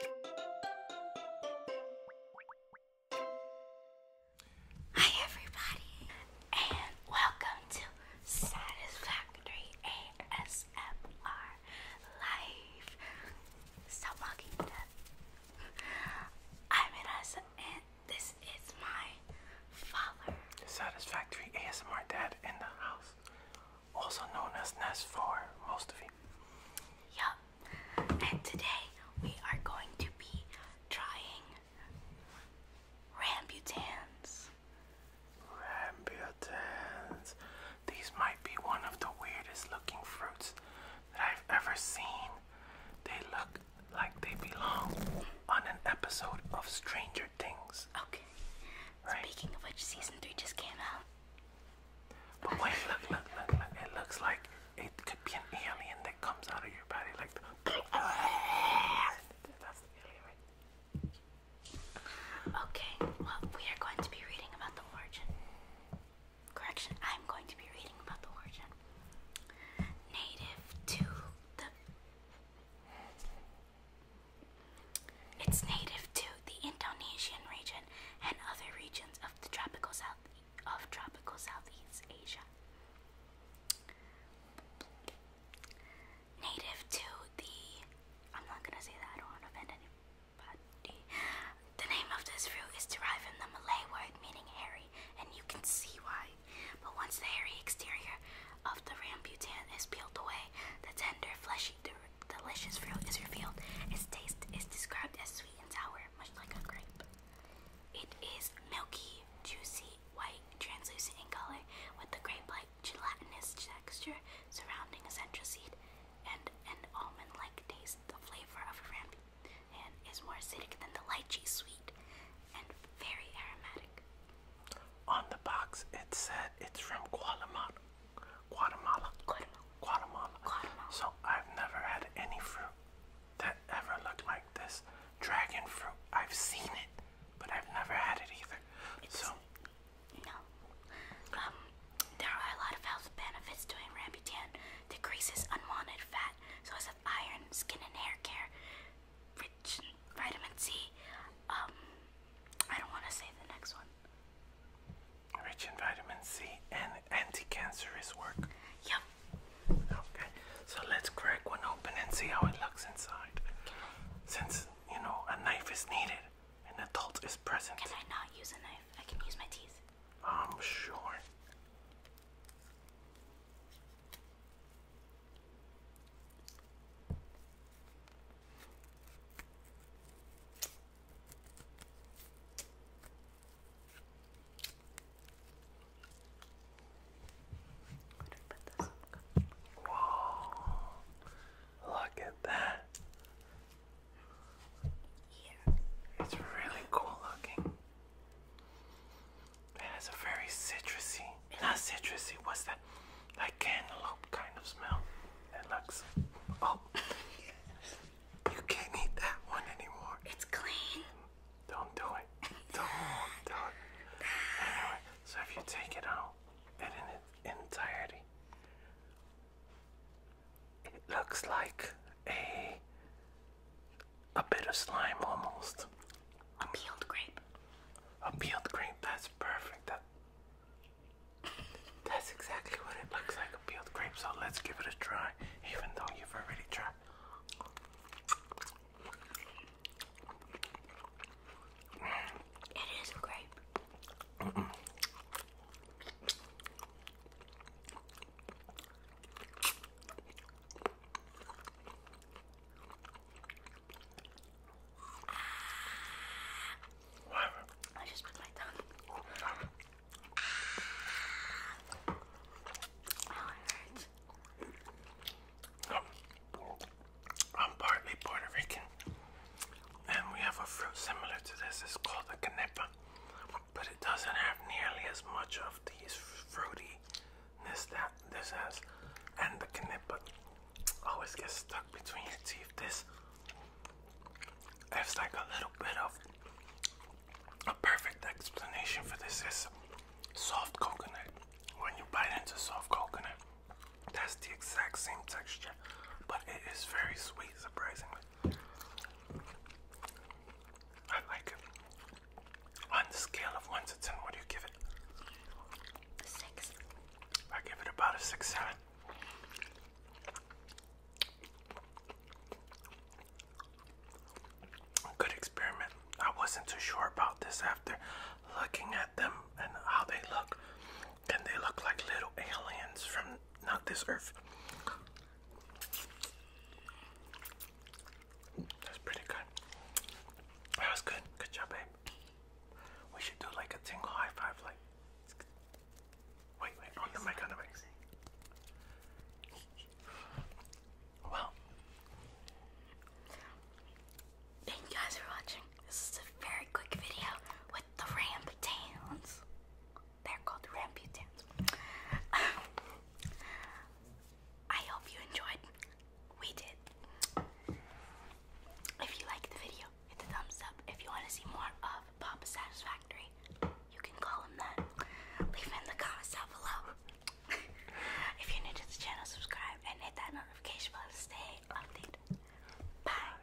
Hi everybody and welcome to Satisfactory ASMR Live. Stop walking I'm Inessa and this is my father. Satisfactory ASMR dad in the house also known as NES for most of you. Yup. And today we are going to be trying Rambutans. Rambutans. These might be one of the weirdest looking fruits that I've ever seen. They look like they belong on an episode of Stranger Things. Okay. Speaking of which, season three just came out. But wait, look, look, look, look. It looks like it could be an alien that comes out of your body like Okay, well, we are going to be reading about the origin. Correction, I'm going to be reading about the origin. Native to the it's native to the Indonesian region and other regions of the tropical south of tropical Southeast Asia. Native to the I'm not gonna say that I don't want to offend anybody. The name of this fruit is derived from the Malay word meaning hairy, and you can see why. But once the hairy exterior of the rambutan is peeled away, the tender, fleshy, delicious fruit is revealed. Its taste is described as sweet and sour, much like a grape. It is milky, juicy, white, translucent in color, with a grape-like gelatinous texture surrounding a central seed and an almond-like taste. The flavor of a rambutan is more acidic than the lychee sweet and very aromatic. On the box, it said it's from Guatemala. Guatemala. Guatemala. So I've never had any fruit that ever looked like this. Dragon fruit. I've seen it, but I've never had it either. so no. Um, there are a lot of health benefits to rambutan. Decreases unwanted fat, source of iron, skin and hair care, vitamin C. Um, I don't want to say the next one. Rich in vitamin C and anti-cancerous work. Yep. Okay, so let's crack one open and see how it looks inside. Since you know a knife is needed, an adult is present. Can I not use a knife? I can use my teeth. I'm sure. Put Look at that. Yeah. It's really cool looking. It has a very citrusy, not citrusy, what's that? Like cantaloupe kind of smell. It looks. Oh! you can't eat that one anymore. It's clean. Don't do it. Don't do it. so if you take it out in its entirety, it looks like a a bit of slime almost. A peeled grape. A peeled grape, that's perfect. that's exactly what it looks like, a peeled grape. So let's give it a try, even though you've already tried. It is a grape. I just put my tongue. Oh, I'm partly Puerto Rican, and we have a fruit similar to this. It's called the canepa but it doesn't have nearly as much of these fruitiness that this has, and the knip always gets stuck between your teeth. This has like a little bit of a perfect explanation for this is soft coconut. When you bite into soft coconut, that's the exact same texture, but it is very sweet, surprisingly. I like it. On the scale of 1 to 10, what do you give it? 6. I give it about a 6 7. Good experiment. I wasn't too sure about this after looking at them and how they look. And they look like little aliens from not this earth. That's pretty good. That was good. Good job, babe. We should do like a tingle high five, like. Wait, wait, on the mic, on the mic. Well. Thank you guys for watching. This is a very quick video with the ramp dance. They're called Ramputans. I hope you enjoyed. We did. If you liked the video, hit the thumbs up. If you want to see more of Papa Satisfactory, you can call him that. Leave in the comments down below. if you're new to the channel, subscribe and hit that notification bell to stay updated. Bye.